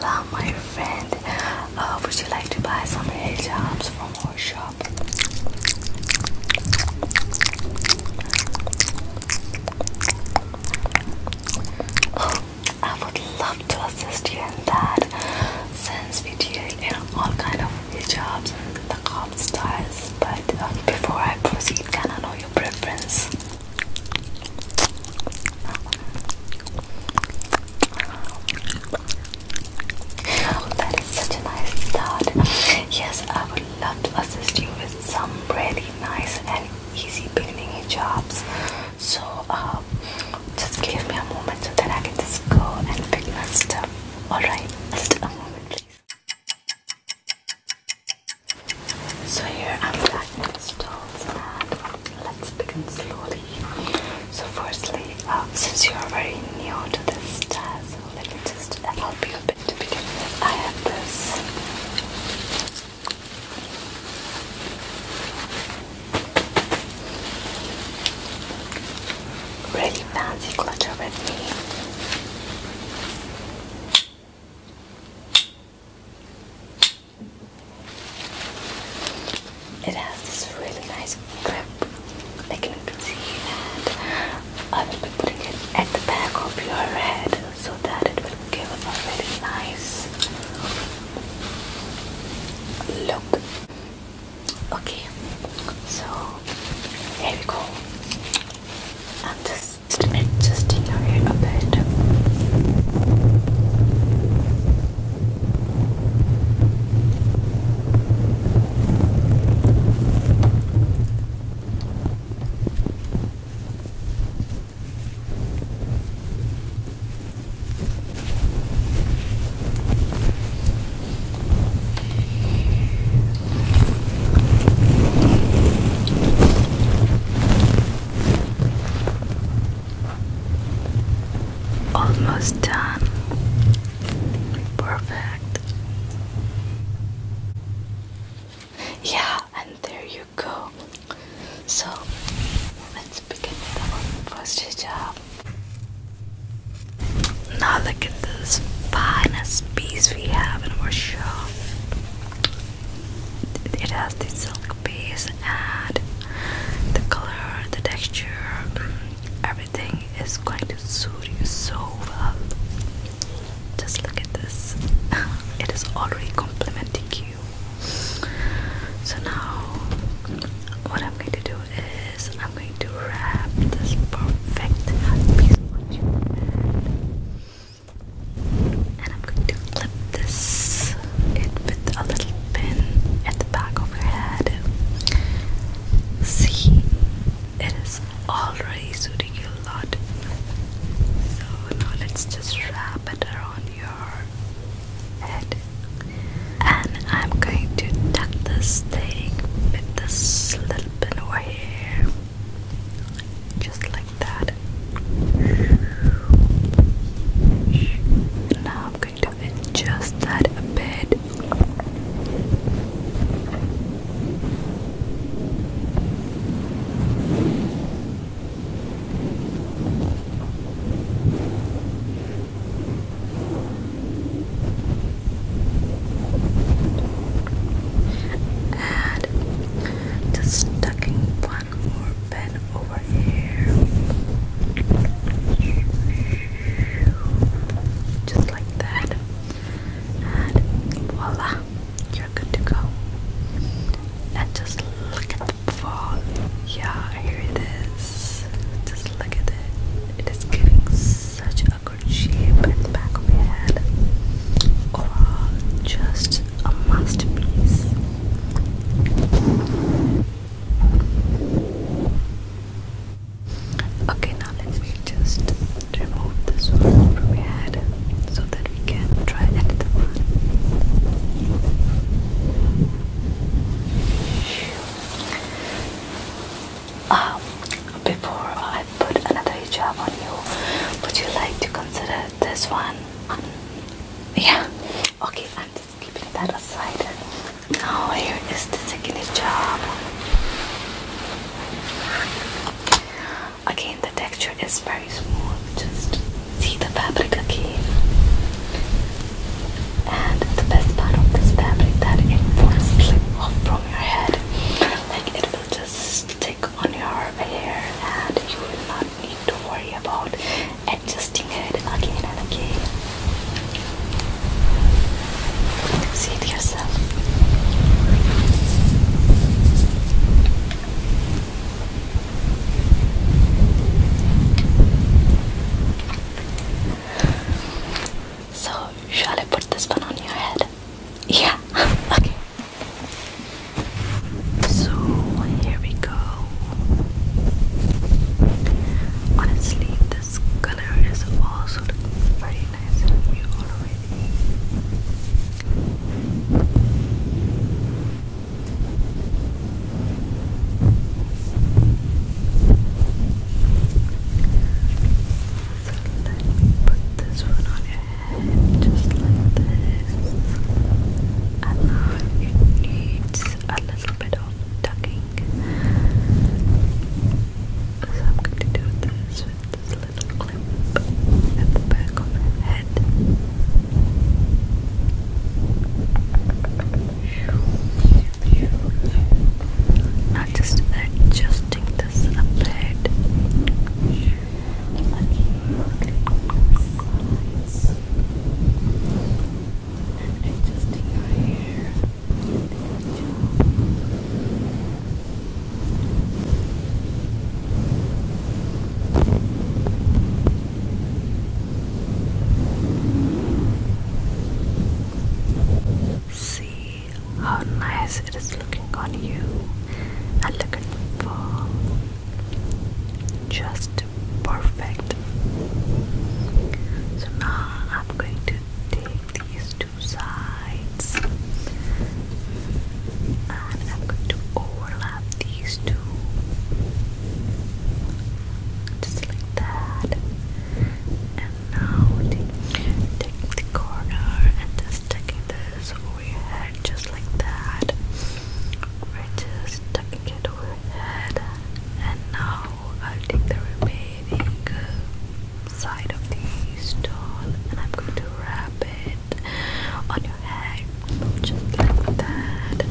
Oh, my friend. Uh, would you like to buy some items from our shop? Oh, I would love to assist you in that since we deal in all kind of hijabs and the qab styles. But um, before I proceed, can I know your preference? Oh, that is such a nice start. Yes, I would love to assist you with some really nice and easy beginning jobs. So, um, just give me a moment so that I can just go and pick my stuff Alright, just a moment please. So here I'm back the stalls let's begin slowly. So firstly, uh, since you are very new to this so let me just help you a bit I have this really fancy clutcher with me. It has this really nice grip, I can see, that I will be putting it at the back of your head so that it will give a very nice look. Okay, so here we go. I'm just adjusting your hair a bit. Almost done. Perfect. Yeah, and there you go. So let's begin the first job. Now look at this finest piece we have in our shop. It has the silk piece and the color, the texture, mm, everything is going to suit you so well. Just look at this. It is already complimenting you. So now what I'm going to do is I'm going to wrap this perfect piece And I'm going to clip this it with a little pin at the back of your head. See, it is already suiting you a lot. So now let's just wrap it around your head and I'm going to tuck this thing with this little pin over here just like that now I'm going to adjust that a bit and just tucking one more pen over here. Just like that. And voila, you're good to go. And just look at the fall. Yeah, here it is. Just look at it. It is giving such a good shape at the back of my head. Overall, just a masterpiece. Okay, now let me just remove this one from your head so that we can try another one. Um, before I put another job on you, would you like to consider this one? Um, yeah. Okay, I'm just keeping that aside. Now here is the second job. Again, the texture is very smooth. Just see the fabric again. And the best part of this fabric that it won't slip off from your head. Like it will just stick on your hair and you will not need to worry about adjusting it again and again. See it yourself. So, shall I put this one on your head? Yeah, okay. So, here we go. Honestly, this color is also very nice let me put this one on your head just like this. And now it needs a little bit of tucking. So I'm going to do this with this little clip at the back of her head. Now just adjusting this a bit. And adjusting your hair. See how nice it is looking on you, and look at just perfect. So now I'm going to take these two sides, and I'm going to overlap these two. Just like that. And now taking the corner and just taking this overhead just like that. We're just tucking it overhead. And now i take the remaining uh, side of the stone and I'm going to wrap it on your head just like that.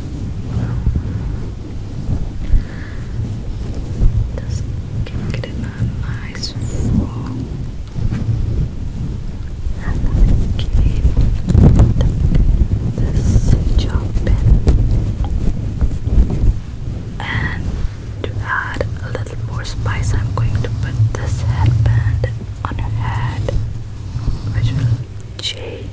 Just can get it on nice floor. And then again, this job And to add a little more spice, I'm going to put this headband on her head, which will change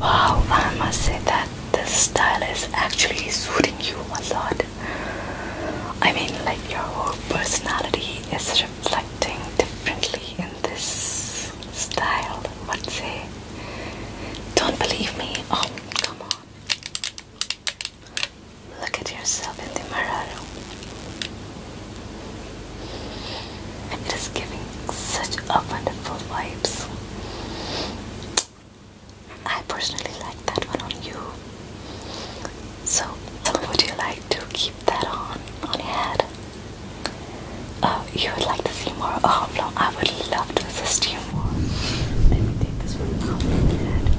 Wow, I must say that this style is actually suiting you a lot. I mean, like your whole personality is reflecting differently in this style, What say. Don't believe me? Oh, come on. Look at yourself in the mirror. It is giving such a wonderful vibes. I personally like that one on you. So, would you like to keep that on on your head? uh, you would like to see more of oh, no, I would love to assist you more. Let me take this one out of head.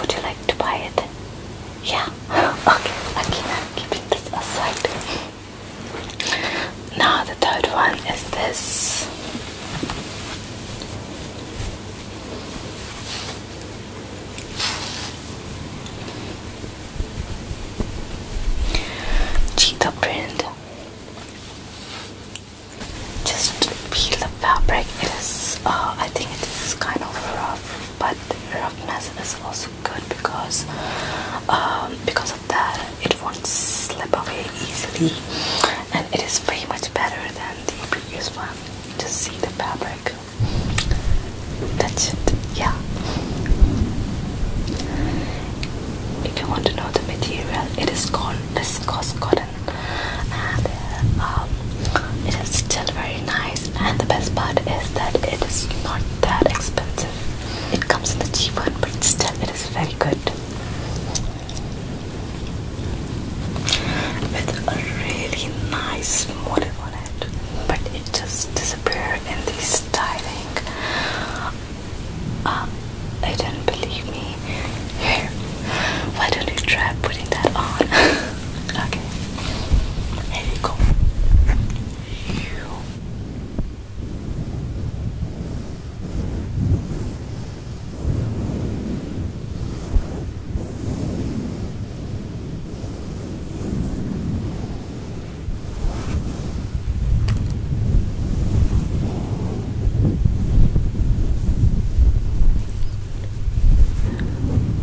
Would you like to buy it? Yeah. Okay, okay, I'm keep this aside. Now the third one is this. Cheetah print. Just peel the fabric. It is, uh, I think it is kind of rough but roughness is also good because um, because of that it won't slip away easily and it is very much better than the previous one just see the fabric that's it yeah if you want to know the material it is called viscose cotton and uh, um, it is still very nice and the best part is that it is not that expensive. It comes in the cheap one but still it is very good. With a really nice motif on it. But it just disappeared in the styling. Uh, I didn't believe me. Here, why don't you try putting that on? Okay. Here you go. You.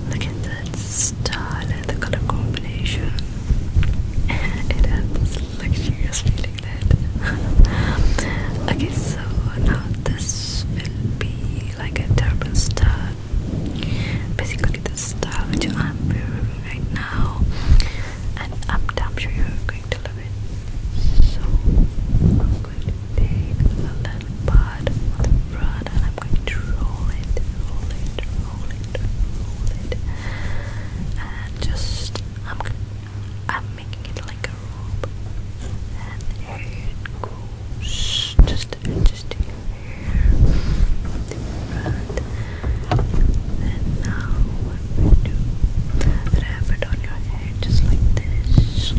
Look at that style and the color combination. it had luxurious feeling that. okay, so now this will be like a turban style. Basically, the style which I'm wearing right now, and I'm, i sure you're going to love it. So I'm little part of going to roll it, roll it, roll it, roll it, and just I'm I'm making it like a rope, and here it goes, just just here, And now what we do, wrap it on your head just like this.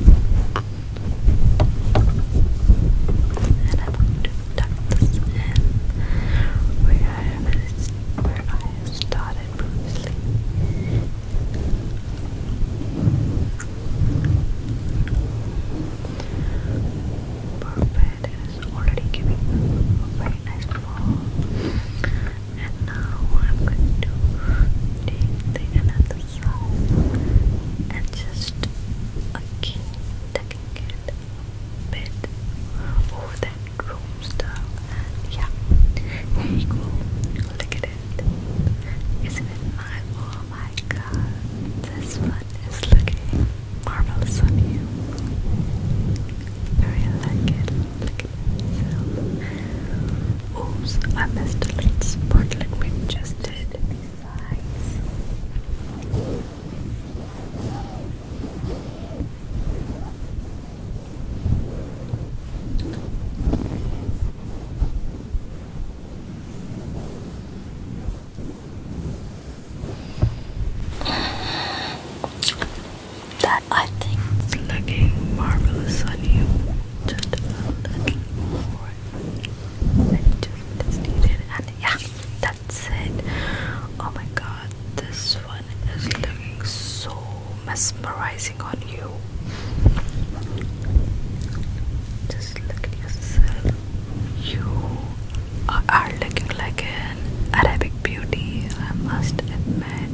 And I'm going to ducts in, where I where I started previously. Perfect, it is already giving a nice fall. And now I'm going to take the side and just again tap looking at bed. Oh, that room style. Yeah, here you Look at it. Isn't it my oh my god? This one is looking marvelous on you. I like it. Look at itself. Oops, I missed a little spotlight we just did. That I think is looking marvelous on you. Just a little more just is needed. And yeah, that's it. Oh my god, this one is looking so mesmerizing on you. Just look at yourself. You are looking like an Arabic beauty, I must admit.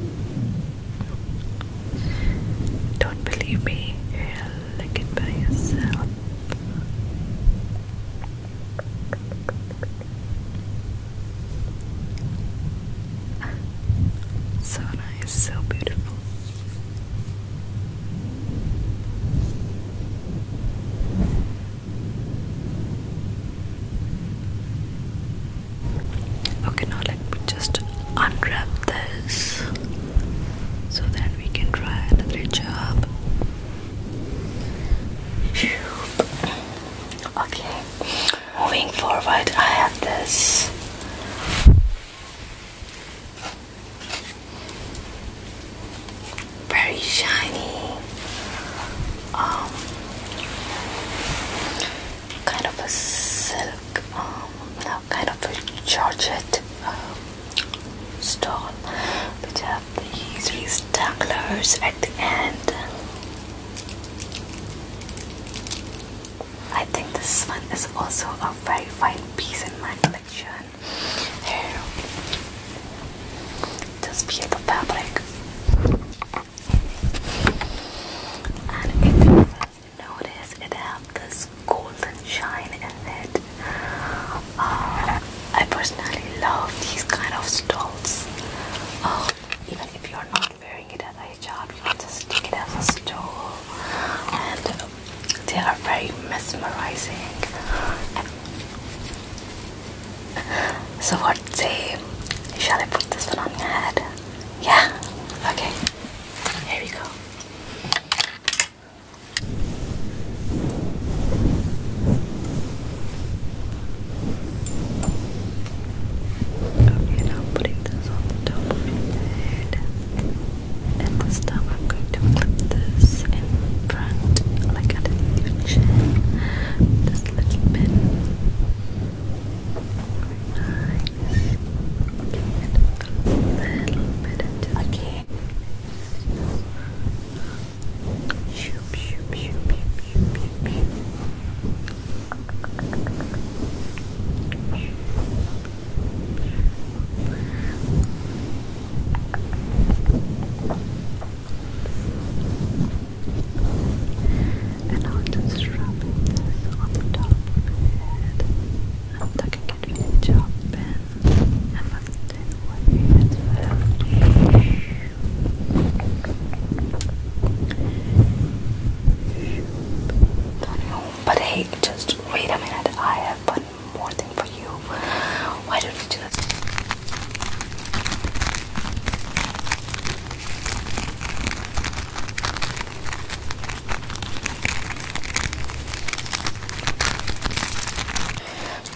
Don't believe me, lick by yourself. So nice, so beautiful. Okay, now let me just unwrap this so then we can try another job. Okay, moving forward, I have this. Very shiny, um, kind of a silk, um, kind of a georgette um, stall which uh, have these rectangulars at the end. I think this one is also a very fine piece in my collection. Here, just fabric. And if you notice, it has this this golden shine in it. Uh, I personally love these kind of stoles. Uh, um, even if you're not wearing it as a hijab, you can just take it as a stole, and um, they are very mesmerizing. So what say? Shall I put this one on your head? Yeah. Okay. Here we go. Okay, now I'm this on the top of your head. And this time I'm going to clip this in front, like underneath your chin. This little bit. Okay, and I'll just rub this on the top of your head. I'm tucking could reach not know, but hey, just wait a minute. I have one more thing for you. Why don't you just?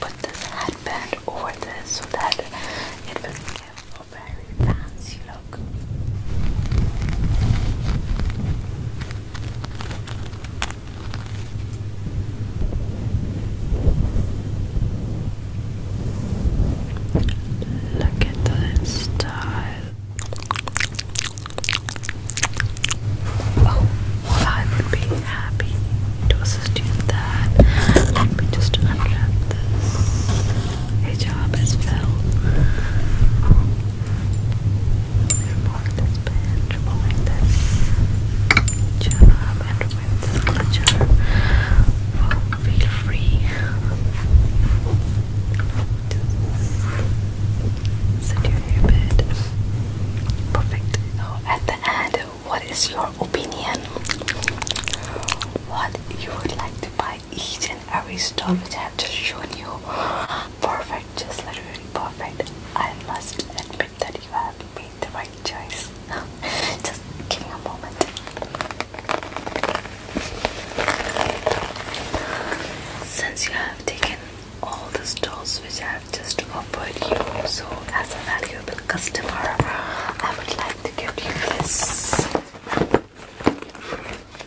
Put this headband over this so that it will give a very fancy look. Look at that style. Oh, I would be happy to assist you in that. Let me just unwrap this. A job is filled. Um, remove this pin, removing this job, and remove this feel free. Sit your hair Perfect. Now at the end, what is your opinion? What you would like to buy each and every store which I have just shown you? Perfect, just literally perfect. I must admit that you have made the right choice. just give a moment. Since you have taken all the stores which I just to offer you. So, as a valuable customer, I would like to give you this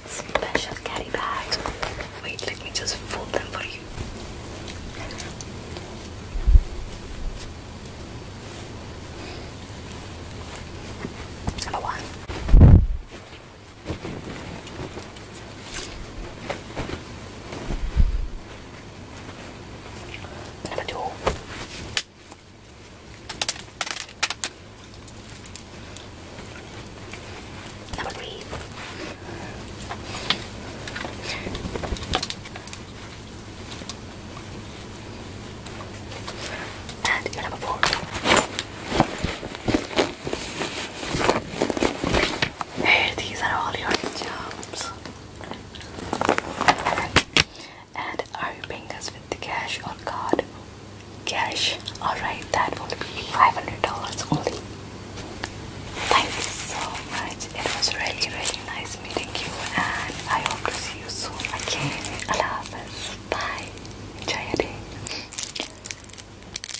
special carry bag. Wait, let me just fold them for you. Number one. Bit of a tool. Number three. And your number four. Here, these are all your jobs. And are you paying us with the cash on card? Cash. Alright, that will be $500 only. Thank you so much. It was really, really nice meeting you, and I hope to see you soon again. Allah Hafiz. Bye. Enjoy your day.